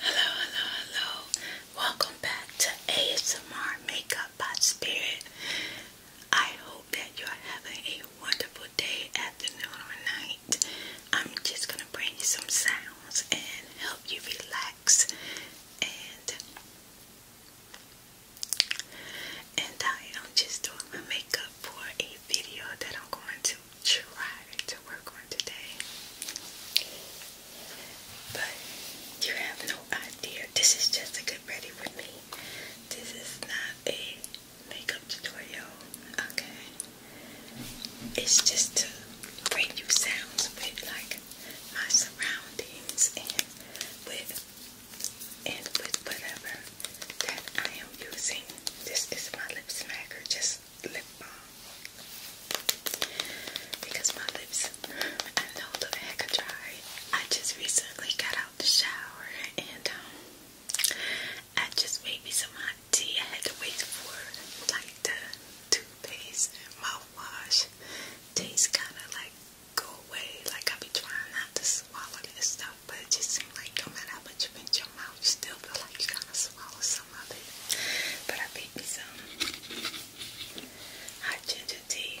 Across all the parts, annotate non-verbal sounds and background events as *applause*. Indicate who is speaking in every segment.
Speaker 1: Hello, hello, hello. Welcome back to ASMR Makeup by Spirit. I hope that you're having a wonderful day, afternoon, or night. I'm just going to bring you some sounds and help you relax and and I am just doing my makeup for a video that I'm going to try to work on today. But you have no idea. This is just a good ready with me. This is not a makeup tutorial. Okay. It's just to bring you sounds with like my surroundings and with and with whatever that I am using. This is my lip smacker, just lip balm. Because my lips, I know the heck dry. I just recently got out the shower and um, I just made me some Tea. I had to wait for like the toothpaste mouthwash. Taste kind of like go away. Like I be trying not to swallow this stuff, but it just seems like no matter how much you pinch your mouth, you still feel like you gotta swallow some of it. But I picked me some hot ginger tea.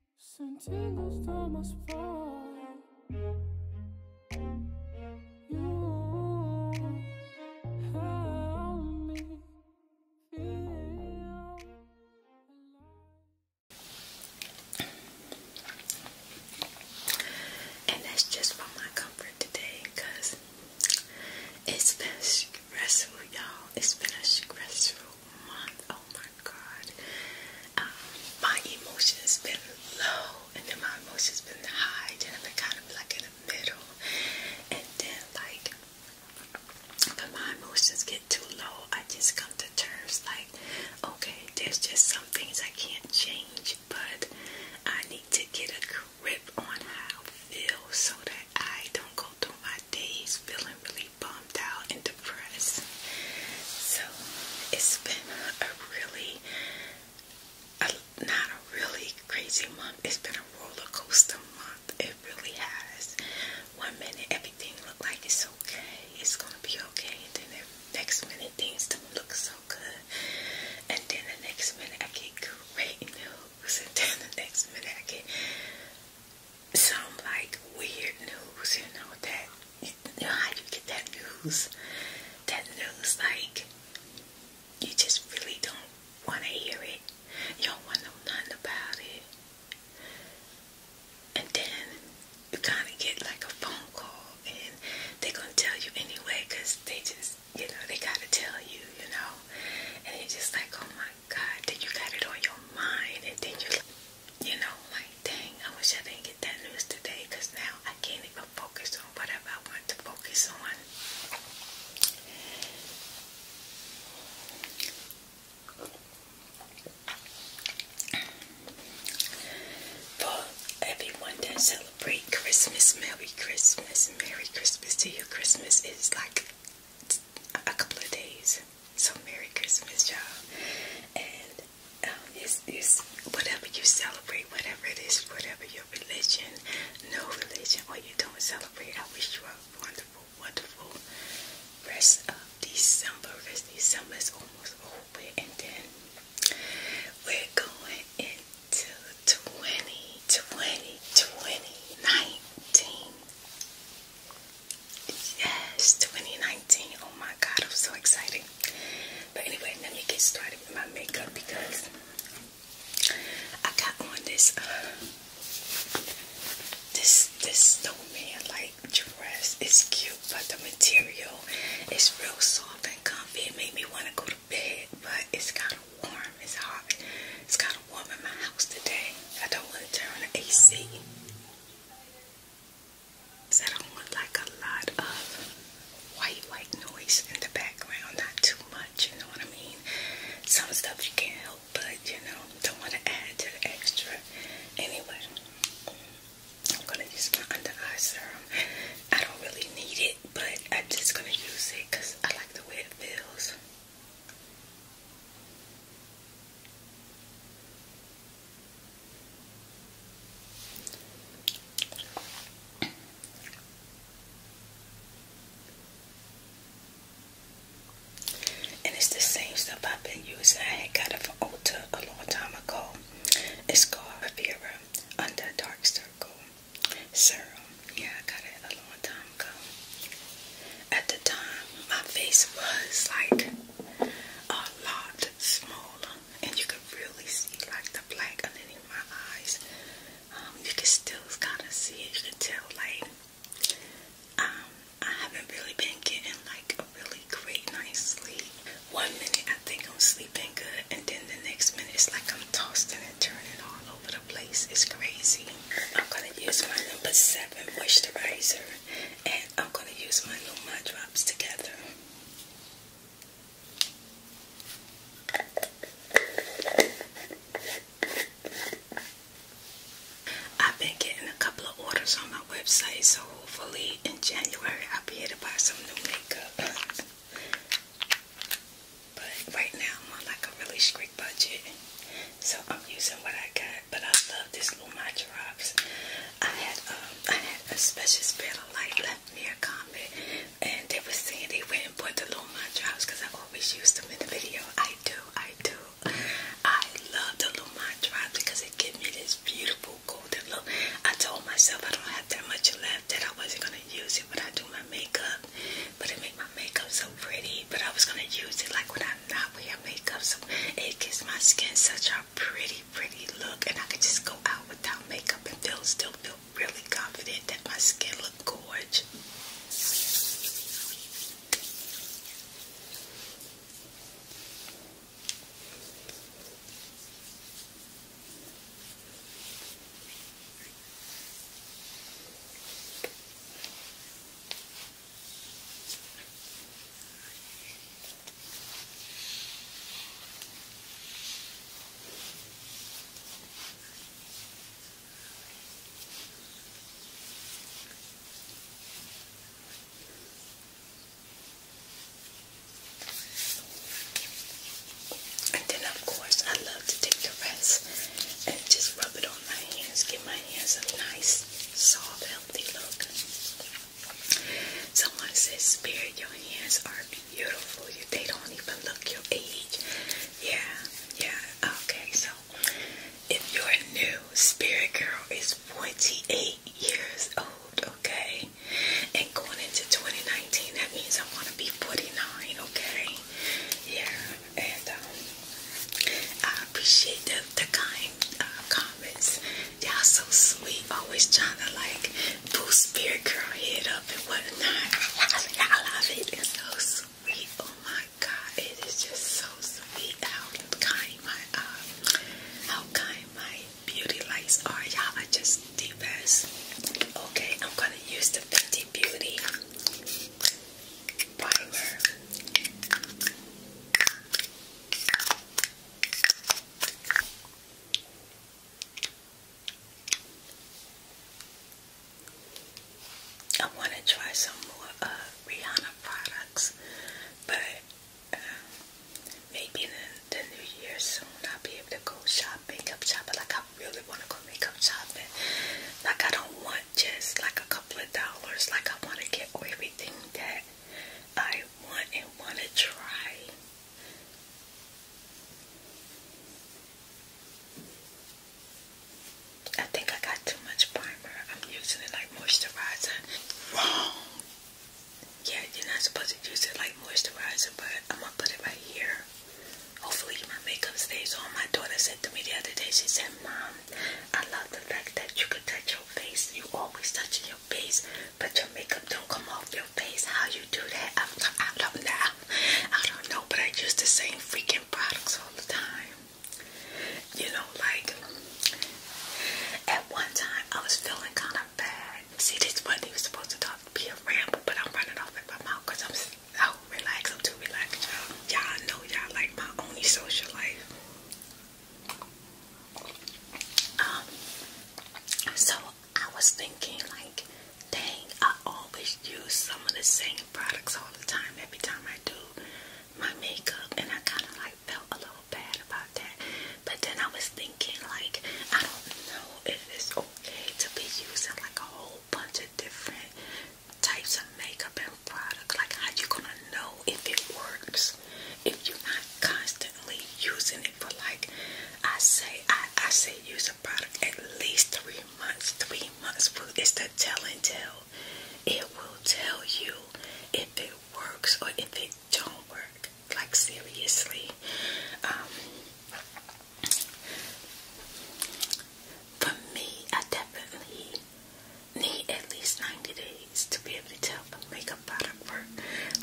Speaker 1: Sentindo down my spine. And that's just for my comfort today, it it's been stressful, y'all. It's been stressful Oh my God. Um, my emotions been low and then my emotions been high. Then I've been kind of like in the middle. And then like when my emotions get too low, I just come to terms like, okay, there's just some things I can't change, but I need to get a grip on how I feel so that I don't go too much days feeling really bummed out and depressed. So it's been a really, a, not a really crazy month. It's been a roller coaster month. It really has. One minute everything looked like it's okay. It's gonna be okay. And then the next minute things don't look so good. And then the next minute I get great news. And then the next minute I get some like weird news, you know, that you know how you get that news. That news like you just really don't wanna hear it. You don't wanna know nothing about it. And then you kinda get like a phone call and they're gonna tell you anyway because they just you know, they gotta tell you, you know. And it's just like, oh my God, then you got it on your mind, and then you, you know, like, dang, I wish I didn't get that news today, because now I can't even focus on whatever I want to focus on. For everyone that celebrate Christmas, Merry Christmas, Merry Christmas to you. Christmas is like a couple of days. So Merry Christmas, y'all. And um, it's, it's whatever you celebrate, whatever it is, whatever your religion, no religion, or you don't celebrate, I wish you a wonderful, wonderful rest of December. Rest December is almost over, and then we're going into 2020, 2019. Yes, 2019. Oh my god, I'm so excited. But anyway, let me get started with my makeup because I got on this uh, this this snowman like dress. It's cute, but the material is real soft and comfy. It made me want to go to bed, but it's kind of warm. It's hot. It's kind of warm in my house today. I don't want to turn the AC. I don't want like a lot of white white noise in the background. Not too much, you know what I mean? Some stuff you can't help but you know, don't want to add to the extra. Anyway, I'm gonna use my under eye serum. I don't really need it, but I'm just gonna use it I like the way it feels. And it's the same stuff I've been using. I had got it from Ulta a long time ago. It's called Rivera Under Dark Circle Serum. Yeah, I got it a long time at the time, my face was like a lot smaller, and you could really see like the black underneath my eyes. Um, you can still kind of see it. You can tell like um, I haven't really been getting like really great night's sleep. One minute I think I'm sleeping good, and then the next minute it's like I'm tossing and turning all over the place. It's crazy. I'm going to use my number 7 moisturizer and I'm going to use my Luma drops together. I've been getting a couple of orders on my website, so hopefully in January I'll be able to buy some new makeup. but right now I'm on like a really budget. So I'm using what I got, but I love this Luma drops. I had a special spell of light left me a comment and they were saying they went and bought the Luma drops because I always use them in the video. I do, I do. I love the Luma drops because it gives me this beautiful golden look. I told myself I don't have that much left that I wasn't gonna use it when I do my makeup, but it made my makeup so pretty. But I was gonna use it like when I I'm not wearing makeup, so it gives my skin such a pretty, pretty look, and I can just go out without makeup and feel still feel really confident that my skin look gorge. And then, of course, I love to take the rest and just rub it on my hands, give my hands a nice, soft, healthy look. Someone says, Spirit, your hands are beautiful. they don't even look your age. Yeah, yeah. Okay, so if you're new, Spirit Girl is 48 years old, okay? And going into 2019, that means I'm going to be 49, okay? Yeah, and um, I appreciate the, the kind uh, comments. Y'all so sweet, always trying to like boost spirit girl head up and whatnot. I love it. It's so sweet. Oh my god, it is just so sweet how kind my uh, how kind my beauty lights are. Y'all I just the best. Okay, I'm gonna use the Fenty Beauty. I want to try some more uh, Rihanna products, but um, maybe in the, the new year soon I'll be able to go shop makeup shopping. Like I really want to go makeup shopping. Like I don't want just like a couple of dollars. Like I want to get everything that I want and want to try. I think I got too much primer. I'm using it like moisturizer. Wrong. Yeah, you're not supposed to use it like moisturizer, but I'm gonna put it right here. Hopefully my makeup stays on. My daughter said to me the other day, she said, Mom, I love the fact that you can touch your face. You always touching your face, but your makeup don't come off your face. How you do that? I don't, I don't know. I don't know, but I use the same freaking products all the time. You know, like at one time I was feeling kind of bad. See, this one not even supposed to talk, be a ramble, but I'm running off at my mouth because I'm relaxed. I'm too relaxed, y'all. Y'all know y'all like my only social life. Um, so I was thinking, like, dang, I always use some of the same products all the time every time I do my makeup, and I kind of like felt a little bad about that. But then I was thinking, like, I don't know if it's okay to be using like a whole bunch of different types of makeup and products. Like, how you gonna know if it works if you're not constantly using it for like I say, I I say use a product at least three months. Three months it's the tell and tell. It will tell you if it works or if it don't work. Like seriously. Um, for me, I definitely need at least 90 days to be able to tell if a makeup product work.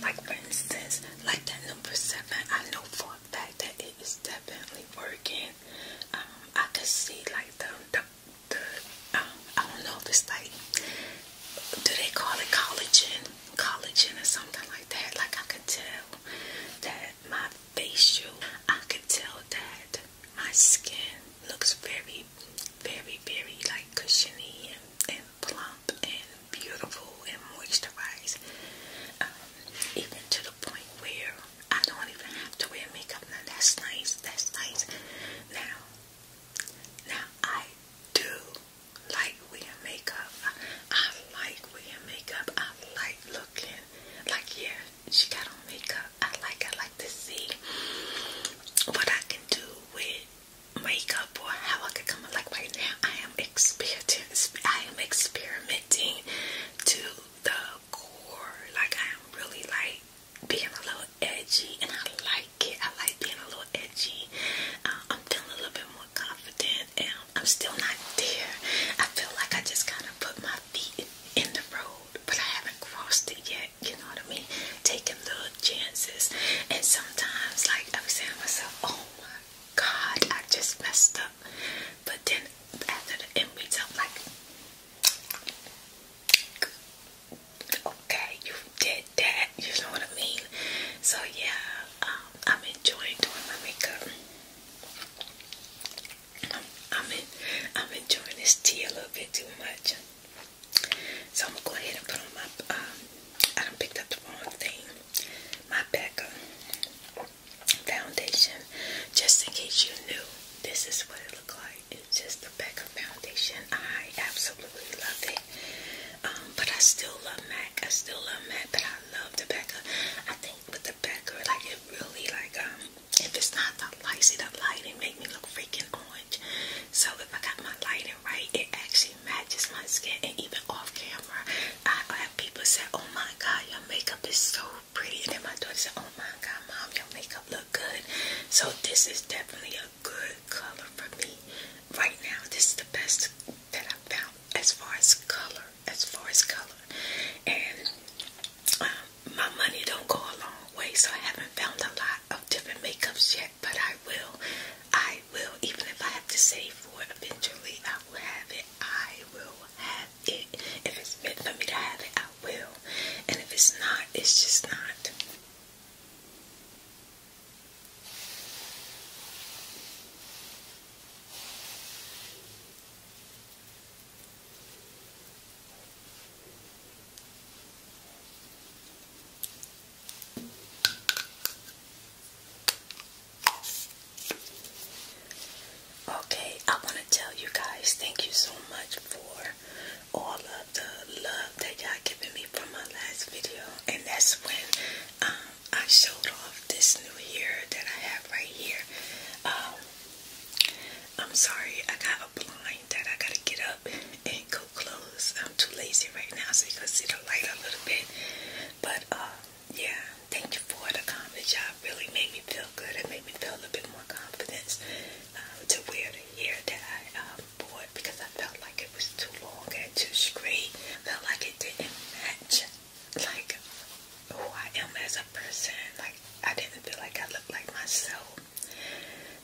Speaker 1: Like for instance, like that number seven, I know for a fact that it is definitely working. Um, I could see like the, the, um, I don't know if it's like, do they call it collagen? Collagen or something like that. Like I could tell that my facial, I could tell that my skin looks very, very, very like cushiony and, plump and beautiful and moisturized. Um, even to the point where I don't even have to wear makeup. Now that's nice. That's nice. Now, now I do like wearing makeup. I, I like wearing makeup. I like looking like yeah, she got on makeup. I like. I like to see what I can do with makeup or how I can come. Like right now, I am experimenting. I am experimenting to the core. Like I am really like being a little edgy, and I like it. I like being a little edgy. Um, I'm feeling a little bit more confident, and I'm still not there. I feel like I just kind of put my feet in the road but I haven't crossed it yet. You know what I mean? Taking little chances, and sometimes, like I'm saying to myself, "Oh my God, I just messed up," but then after the end we result, like, "Okay, you did that." You know what I mean? So yeah, um, I'm enjoying doing my makeup. I'm, in, I'm enjoying this tea a little bit too much. So I'm gonna go ahead and put on my uh, I don't picked up the wrong thing. My Becca foundation. Just in case you knew, this is what it looked like. It's just the Becca foundation. I absolutely love it. Um, but I still love MAC. I still love MAC, but I love the Becca. I think with the Becca, like it really like um if it's not the light, see the lighting make me look freaking orange. So if I got my lighting right, it actually matches my skin. And even off camera, I have people say, "Oh my God, your makeup is so pretty," and then my daughter said, "Oh my God, mom, your makeup look good." So this is definitely a good color for me right now. This is the best that I found as far as color, as far as color, and. Um, my money don't go a long way, so I haven't found a lot of different makeups yet, but I will. I will, even if I have to save for it, eventually I will have it. I will have it. If it's meant for me to have it, I will. And if it's not, it's just not. Okay, I want to tell you guys thank you so much for all of the love that y'all giving me from my last video, and that's when um, I showed off this new hair that I have right here. Um, I'm sorry, I got a that I gotta get up and go close. I'm too lazy right now, so you can see the light a little bit. But uh, yeah, thank you for the comment. Y'all really made me feel good. It made me feel a little bit more confidence uh, to wear the hair that I um, bought because I felt like it was too long and too straight. felt like it didn't match like who I am as a person. Like I didn't feel like I looked like myself.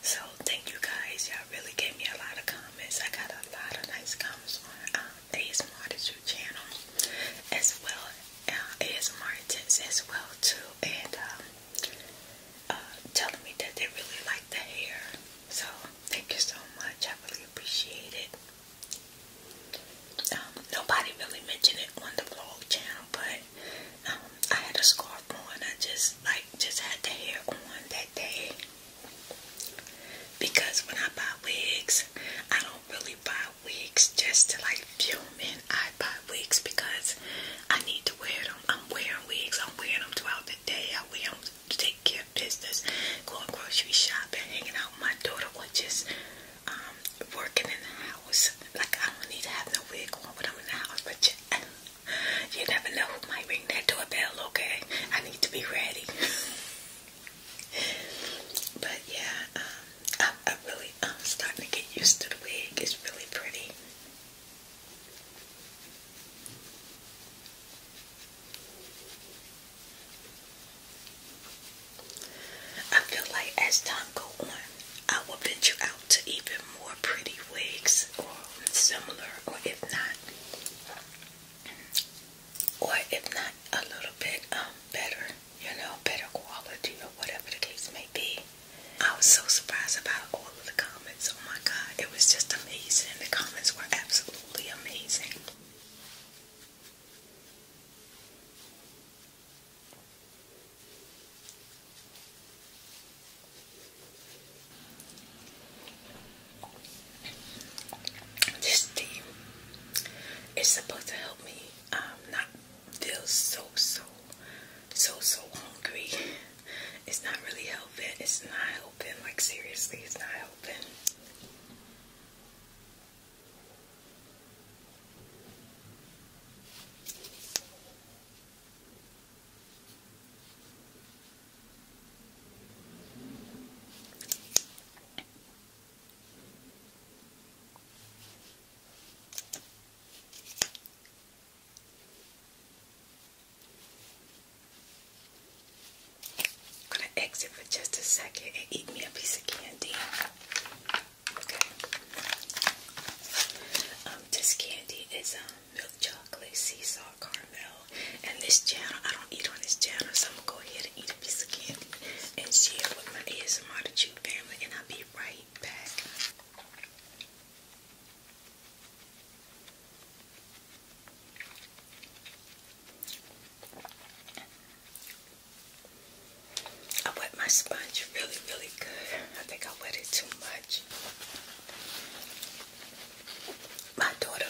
Speaker 1: So thank you guys. Y'all really gave me a lot of comments. I got a lot of nice comments on um, ASMR YouTube channel as well. Uh, ASMR tips as well too. And um, uh, telling me that they really like the hair. So thank you so much. I really appreciate it. Um, nobody really mentioned it on the vlog channel, but um, I had a scarf on. I just like just had the hair on that day because when I buy wigs, I don't really buy wigs just to like film in. I buy wigs because I need to wear them. I'm wearing wigs. I'm wearing them throughout the day. I wear them to take care of business, going grocery shopping, hanging out with my daughter, or just um, working in the house. Like I don't need to have no wig on when I'm in the house, but you never know who might ring that doorbell, okay? I need to be ready. *laughs* but yeah, um, i really I'm starting to get used to the wig. It's really pretty. I feel like as time go on, I will venture out to even more pretty wigs or similar, or if not, or if not a little bit um, better, you know, better quality or whatever the case may be. I was so surprised about all of the comments. Oh my God, it was just amazing. The comments were absolutely amazing. This tea is supposed to help me um, not feel so, so, so, so hungry. It's not really helping. It's not helping. Like, seriously, it's not helping. I'm gonna exit for just a second and eat me a piece of candy. Okay. Um, this candy is um milk chocolate, seesaw, caramel. And this channel, I don't eat on this channel, so I'm gonna go ahead and eat a piece of candy and share with my ASMR to you family, and I'll be right back. I wet my sponge really, really good. I think I wet it too much. My daughter,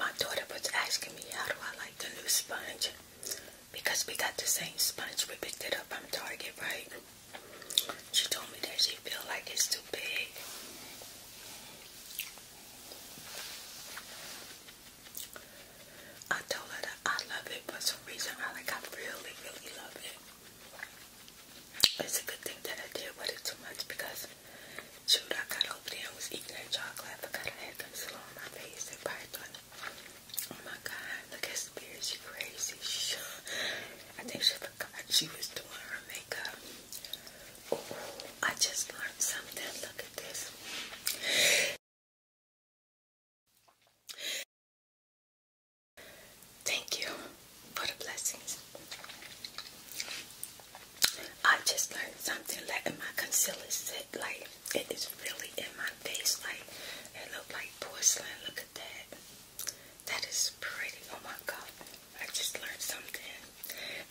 Speaker 1: my daughter was asking me how do I like the new sponge because we got the same sponge we picked it up from Target, right? She told me that she feel like it's too big. I told her that I love it for some reason. I like, I really, really love it. It's a good thing that I did with it too much because, shoot, I got over there and was eating that chocolate. I forgot I had concealer on my face. They probably thought, oh my god, look at Spirit, she crazy. She, *laughs* I think she forgot she was doing her makeup. Oh, I just learned something. Look at this. Thank you for the blessings. I just learned something like in my concealer set, like it is really in my face, like it looked like porcelain. Look at that. That is pretty. Oh my god. I just learned something.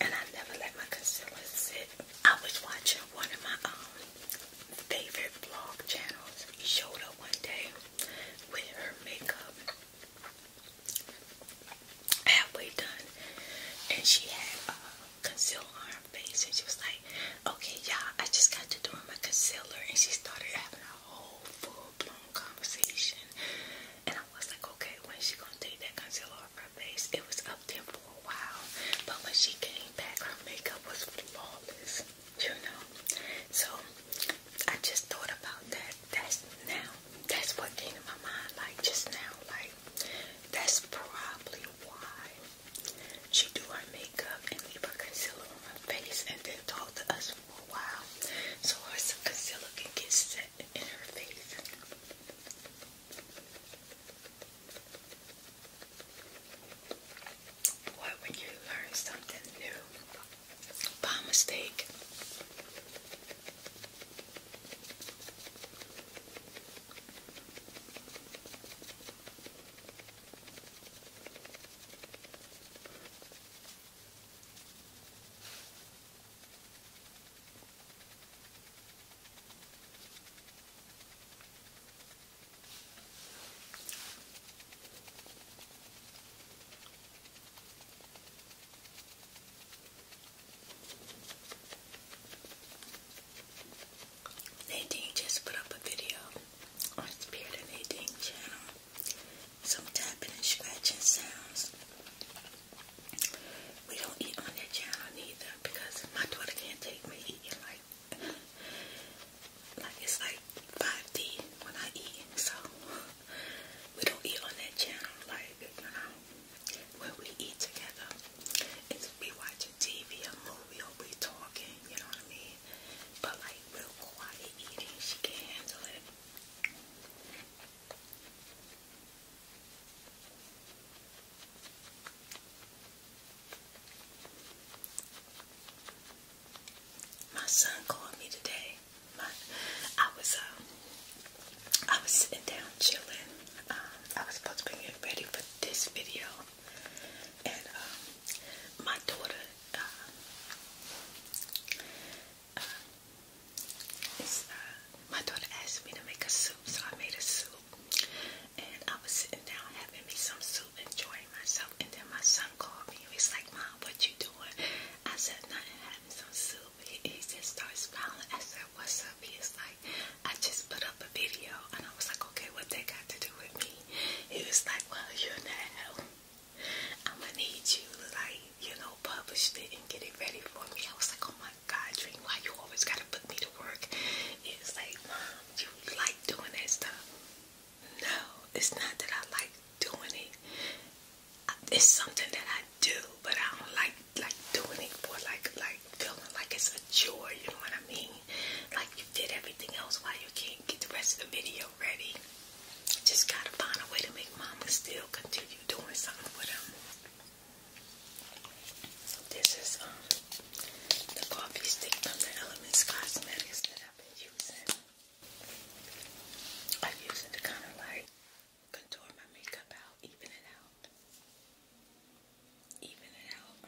Speaker 1: And I never let my concealer sit. I was watching one of my um favorite vlog channels showed up one day with her makeup halfway done and she had uh, concealer on her face and she was like okay y'all I just got to doing my concealer and she started having a whole full-blown conversation and I was like okay when is she gonna take that concealer off her face it was up there for Wow, but when she came back, her makeup was flawless, you know. So I just thought about that. That's now. That's what came to my mind, like just now. Like that's probably why she do her makeup and leave her concealer on her face, and then talk to us for a while, so her concealer can get set in her face. What would you learn something new by mistake? Nadine just put up a video on Spirit and channel. Some tapping and scratching sounds. We don't eat on their channel neither because my daughter can't take me eating like like it's like 5D when I eat, so we don't eat on that channel. Like you know, when we eat together, it's we watching TV, a movie, or we talking. You know what I mean? But like real quiet eating, she can handle it. My son called me today. I was uh, I was sitting down chilling. Um, I was supposed to be getting ready for this video, and um, my daughter uh, uh, my daughter asked me to make a soup, so I made a soup. And I was sitting down having me some soup, enjoying myself. And then my son called me. He's like, Mom, what you doing? I said, nothing, having some soup. He, he just starts smiling. I said, what's up? He is like, I just put up a video. And I was like, okay, what they got to do with me? He was like, well, you know, I'm going to need you to, like, you know, publish it and get it ready for me. I was like, oh my God, Dream, why you always got to put me to work? He was like, Mom, you like doing that stuff. No, it's not that I like doing it. It's something that I do, but I don't like like doing it for like like feeling like it's a chore. You know what I mean? Like you did everything else, why you can't get the rest of the video ready? Just gotta find a way to make mama still continue doing something with him. This is um the coffee stick from the Elements Cosmetics that I've been using. I use it to kind of like contour my makeup out, even it out. Even it out.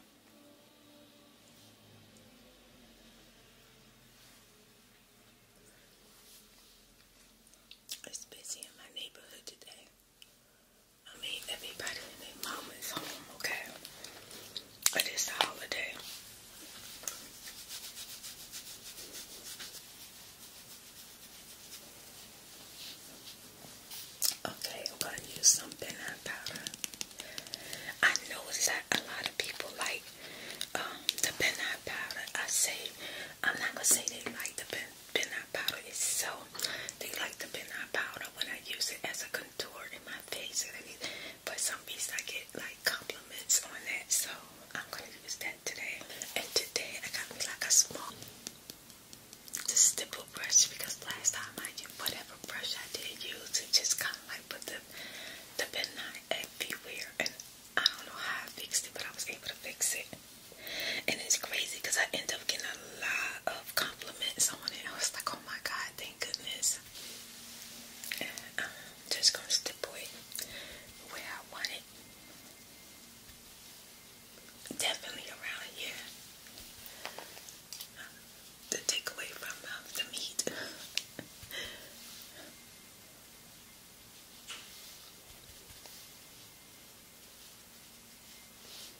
Speaker 1: It's busy in my neighborhood today. I mean, everybody and their mom is home, okay? It is the holiday. Okay, I'm gonna use some peanut powder. I noticed that a lot of people like um, the powder. I say, I'm not gonna say they like the powder. It's so they like the powder when I use it as a contour in my but some bees, I get like compliments on that, so I'm gonna use that today. And today I got me like a small the stipple brush because last time I did whatever brush I did use it just kind of like put the the midnight everywhere and I don't know how I fixed it but I was able to fix it and it's crazy because I end up getting a lot of compliments on it. I was like, oh my god, thank goodness. Um, just gonna stipulate where I want it. Definitely around here. Um, the takeaway from um, the meat. *laughs*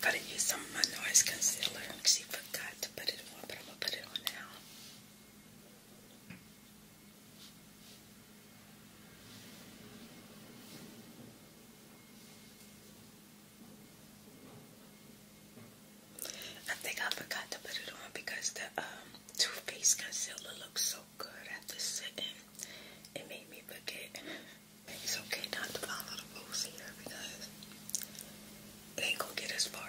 Speaker 1: I could have used some of my noise concealer because he forgot to put it on, but I'm going to put it on now. I think I forgot to put it on because the um too Faced concealer looks so good after sitting. It made me forget. It's okay not to follow the rules here because they ain't going get us far.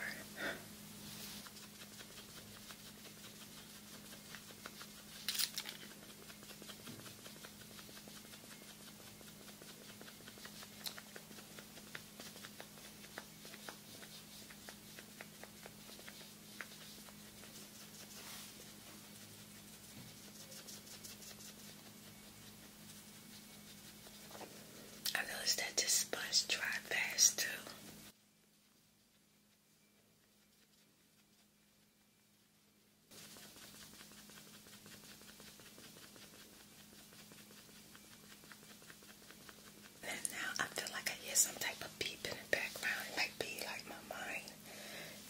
Speaker 1: I noticed that this sponge dried fast too. And now I feel like I hear some type of beep in the background. It might be like my mind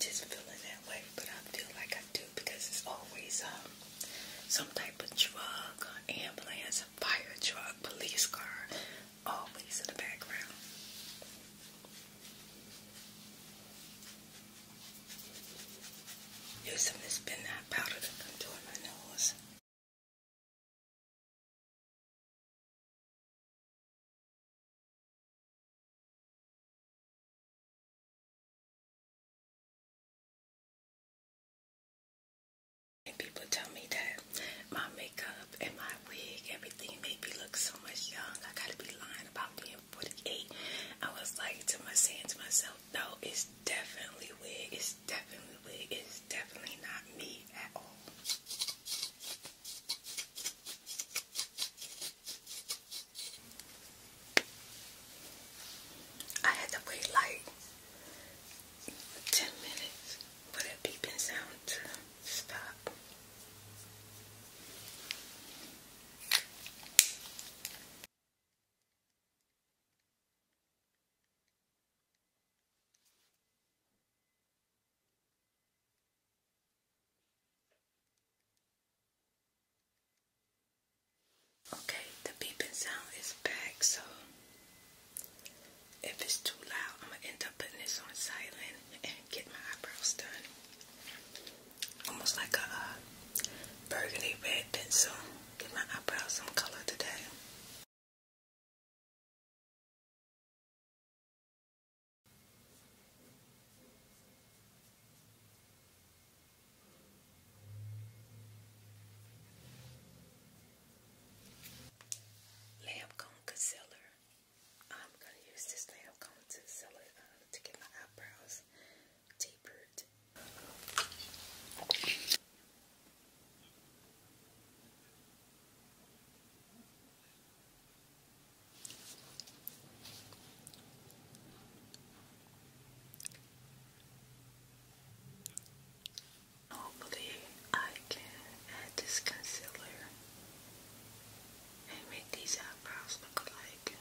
Speaker 1: just feeling that way, but I feel like I do because it's always um some type of drug, or ambulance, a fire truck, police car, always in the background. Using this been powder to contour my nose people tell me that my makeup and my wig, everything made me look so much young. I gotta be lying about being 48. I was like to my saying myself, no, it's definitely wig. It's definitely, it's definitely not me at all. I had to wait like 10 minutes for that beeping sound to stop. Okay, the beeping sound is back, so if it's too loud, I'm gonna end up putting this on silent and get my eyebrows done. Almost like a uh, burgundy red pencil. get my eyebrows some color today. Lamb cone concealer. I'm gonna use this lamb cone concealer uh, to get my eyebrows tapered. Hopefully, I can add this concealer and make these eyebrows look alike.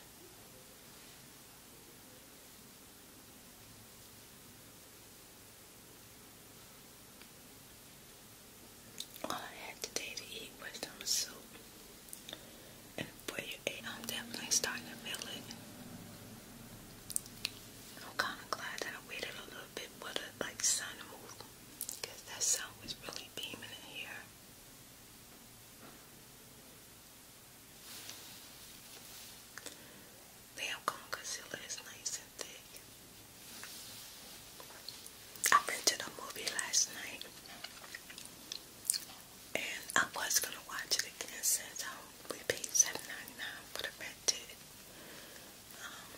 Speaker 1: All I had today to eat was some soup. And before I'm definitely starting to feel it. I'm kind of glad that I waited a little bit for the like sun to move, that sun was really beaming in here. They have concealer is nice I went to a movie last night and I was gonna watch it again since um, we paid $7.99 for the rented. Um,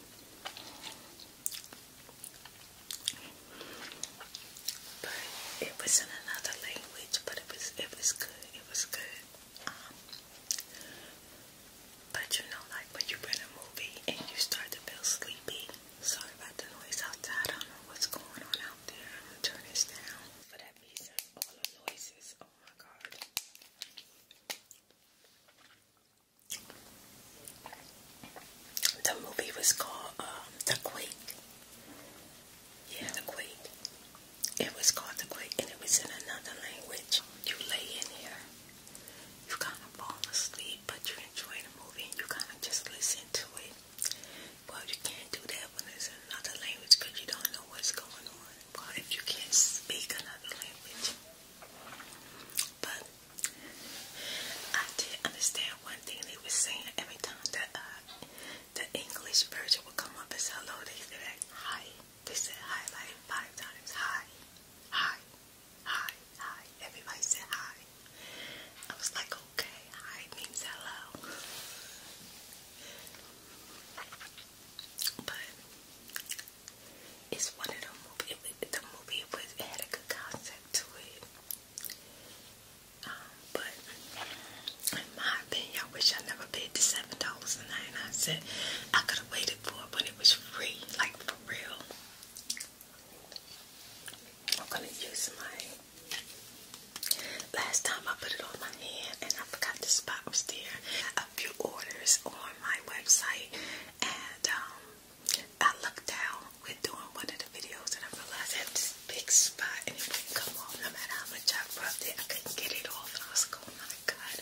Speaker 1: but it was in another language, but it was it was good. It was good. Um, but you know, like when you're in a movie and you start to feel sleepy. Sorry about the noise outside. I don't know what's going on out there. I'm gonna turn this down for that reason. All the noises. Oh my god. The movie was called um, The Quake. Yeah, The Quake. It was called The Quake and it was in another language. You lay in here you kind of fall asleep, but you enjoy the movie and you kind of just listen to it. Well, you can't do that when it's another language you don't know what's going on. Well, if you can't speak another language, but I did understand one thing they were saying every time that uh, the English version would come up as hello. They said hi. They said highlight five times. Hi, hi, hi, hi. Everybody said hi. I was like, okay, hi means hello. But it's one of them. movie. It, the movie was had a good concept to it. Um, but in my opinion, I wish I never paid the seven dollars a night. I said I could have waited it it was free, like for real. I'm gonna use my last time I put it on my hand and I forgot the spot was there. A few orders on my website and um, I looked down We're doing one of the videos and I realized I had this big spot and it wouldn't come off no matter how much I rubbed it. I couldn't get it off and I was going Oh my god.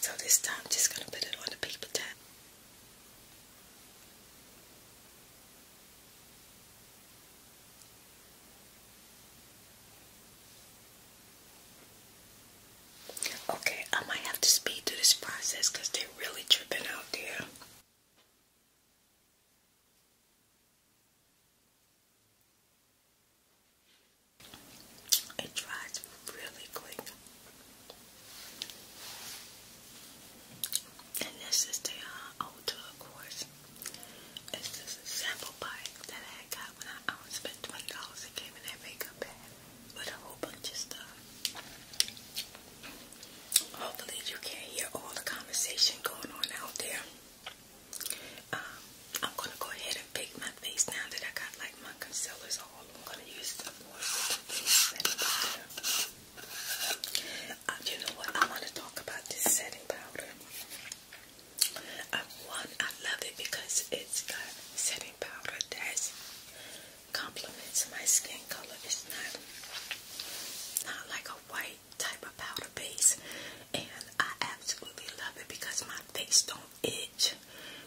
Speaker 1: So this time I'm just gonna put it on the paper towel. Okay, I might have to speed through this process they're really tripping out there. It dries really quick. And this is the uh, Ulta, course. It's just a sample pack that I got when I, I spent $20. It came in that makeup bag with a whole bunch of stuff. Hopefully you can hear all the conversation going on out there. Um, I'm going to go ahead and pick my face now that I got like like my concealers all. I'm gonna use them more setting powder. Um, you know what? I want to talk about this setting powder. one, I love it because it's got setting powder that complements my skin color. It's not not like a white type of powder base, and I absolutely love it because my face don't itch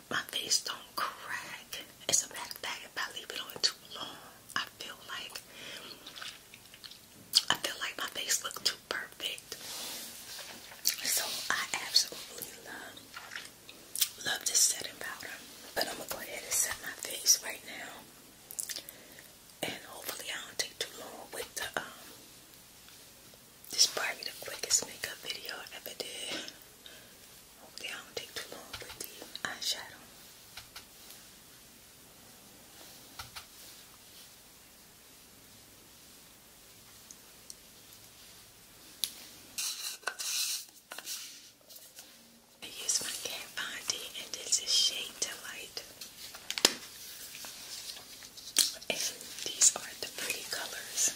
Speaker 1: my face don't crack. It's a matter of fact, if I leave it on too long, I feel like I feel like my face looks too perfect. So I absolutely love love this setting powder. But i go ahead and set my face right now. And hopefully I don't take too long with the um, this probably the quickest makeup video I ever did. Hopefully I don't take too long with the eyeshadow. I use my Kat Von D and this is Shade Delight. And these are the pretty colors.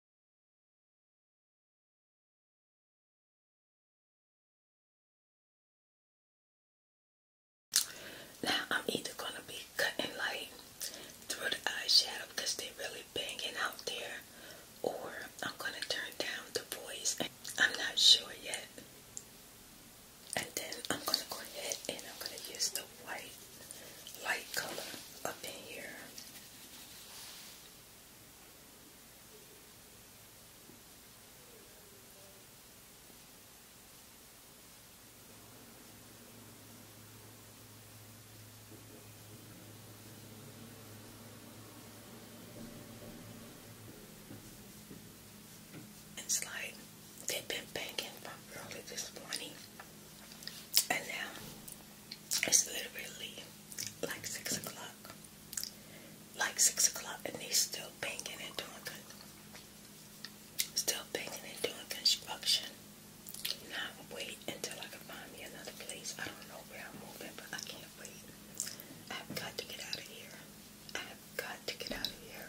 Speaker 1: Now I'm either going to be cutting light through the eyeshadow because they're really banging out there or I'm going to turn down the voice. I'm not sure yet. And then I'm going to go ahead and I'm going to use the white light color up in here it's like they've been banking from early this morning and now it's literally like six o'clock. Like six o'clock, and they still banking and doing good. Still banking and doing construction. Now I wait until I can find me another place. I don't know where I'm moving, but I can't wait. I've got to get out of here. I've got to get out of here.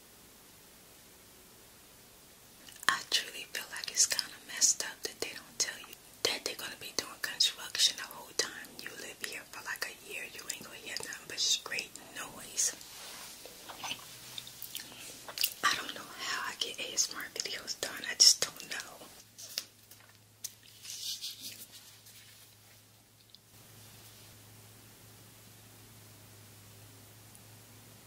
Speaker 1: I truly feel like it's kind of messed up that they don't tell you that they're gonna be doing construction the whole time you live here for like a year. You ain't gonna hear nothing but straight noise. I don't know how I get ASMR videos done. I just don't know.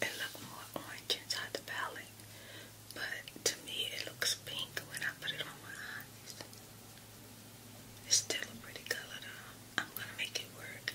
Speaker 1: It looks more orange inside the palette, but to me it looks pink when I put it on my eyes. It's still a pretty color though. I'm gonna make it work.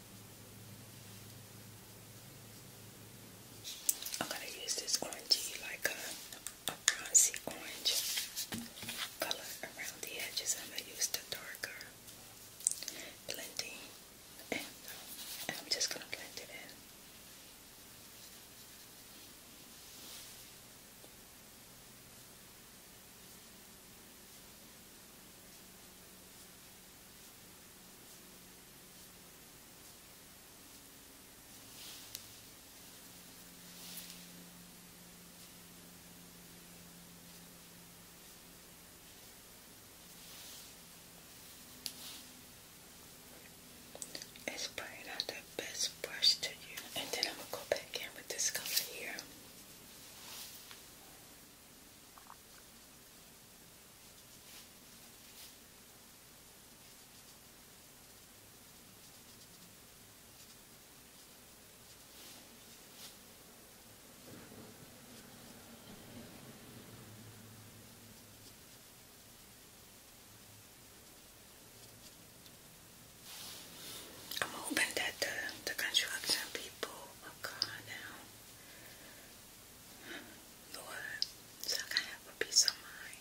Speaker 1: I'm going to use this orangey, like uh, a, bronzy orange color around the edges. I'm going to use the darker blending and uh, I'm just going to blend it in. It's probably not the best brush to you. And then I'm going to go back in with this color here. I'm hoping that the, construction people Oh, my car now. Lord, so I can have peace of mind.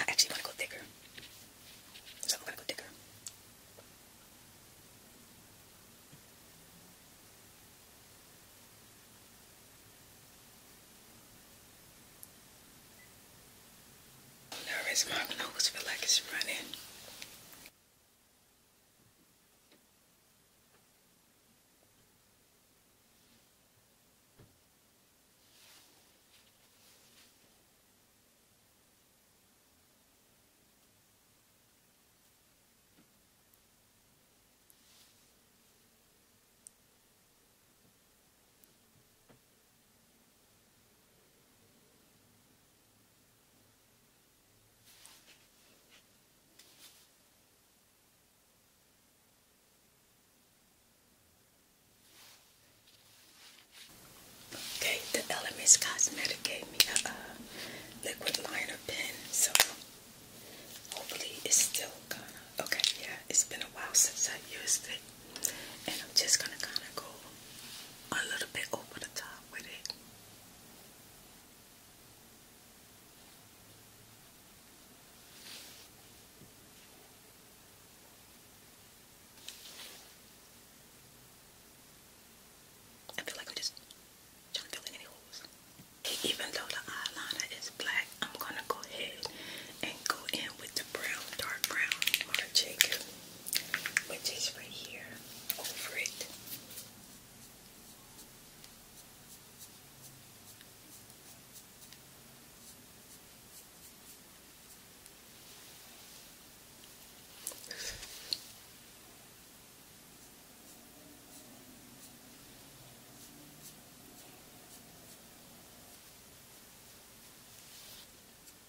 Speaker 1: I actually want to go thicker. So I'm going to go thicker. Nervous, my clothes feel like it's running. Okay, the LMS Cosmetic gave me a liquid liner pen, so hopefully it's still good. Okay, yeah, it's been a while since I used it and I'm just gonna kind of go a little bit over the top with it. I feel like I'm just trying to fill in any holes. Even though the eyeliner is black, I'm gonna go ahead and go in with the brown, dark brown Marc Jacob, which is right here over it.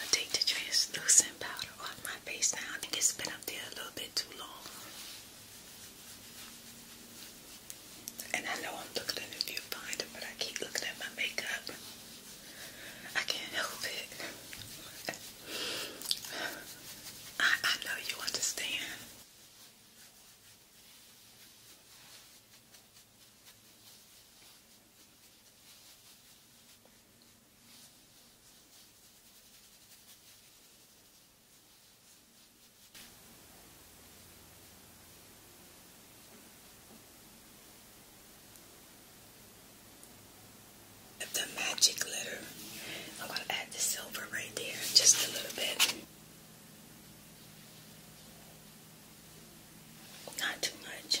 Speaker 1: I take the translucent powder off my face now. I think it's been up there a little bit too long. And I know I'm looking at a viewfinder, but I keep looking at my makeup. I can't help it. I know you understand. The magic glitter. I'm going to add the silver right there, just a little bit. Not too much.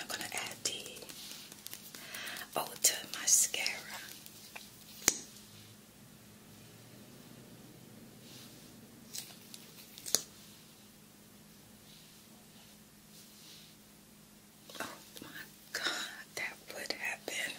Speaker 1: I'm going to add the Ulta mascara. Oh my God, that would happen.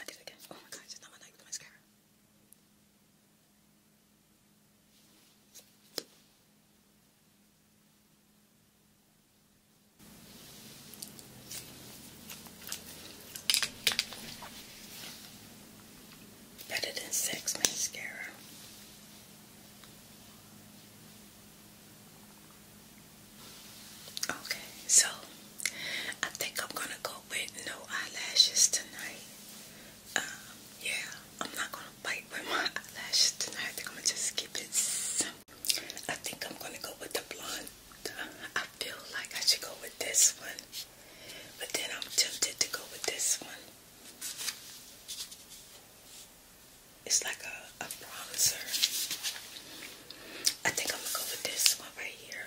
Speaker 1: I did Oh my god, it's not my night with mascara. Better than sex mascara. Okay, so I think I'm gonna go with no eyelashes tonight. Um, yeah, I'm not gonna bite with my eyelashes tonight. I think I'm gonna just keep it simple. I think I'm gonna go with the blonde. I feel like I should go with this one, but then I'm tempted to go with this one. It's like a, a bronzer. I think I'm gonna go with this one right here.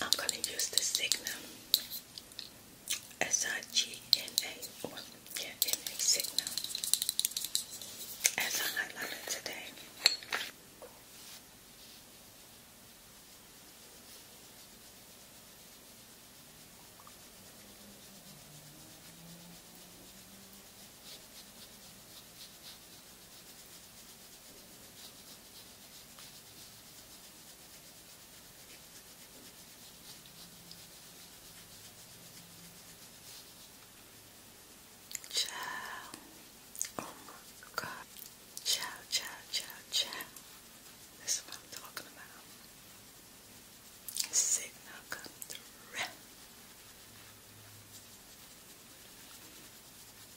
Speaker 1: I'm going to use the Signum S-I-G-N-A or yeah, N-A Signum as I highlighted today. Ciao. Oh my god. Ciao, ciao, ciao, ciao. This is what I'm talking about. Signal come through.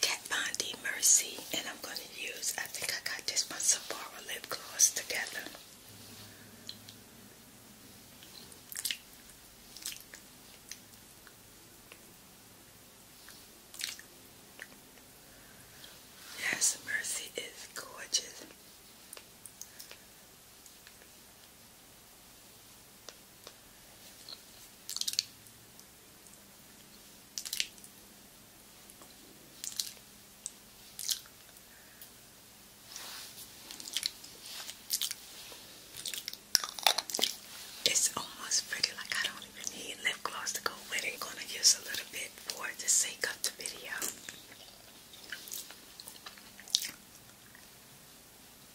Speaker 1: Kat Von D Mercy, and I'm going to use, I think I got this one Sephora lip gloss together. Yes, Mercy is gorgeous. It's almost pretty like I don't even need lip gloss to go with it. I'm gonna use a little bit for the sake of the video.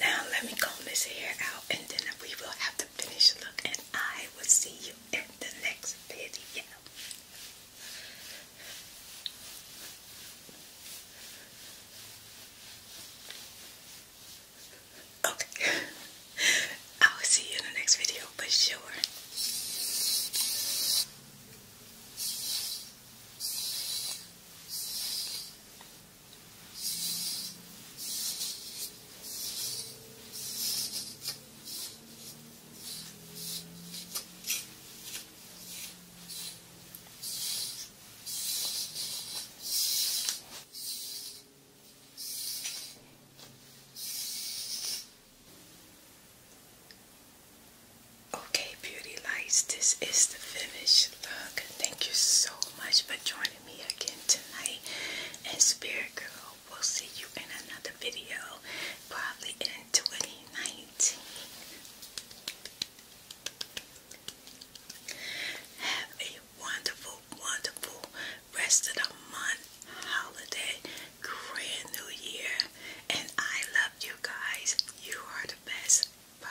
Speaker 1: Now let me comb this hair out and then we will have to finish look and I will see you in the next video. Okay. *laughs* I will see you in the next video for sure. Okay, beauty lights, this is the finished look. Thank you so much for joining me again tonight. And Spirit Girl, we'll see you in another video, probably in 2019. Have a wonderful, wonderful rest of the month, holiday, grand new year, and I love you guys. You are the best. Bye.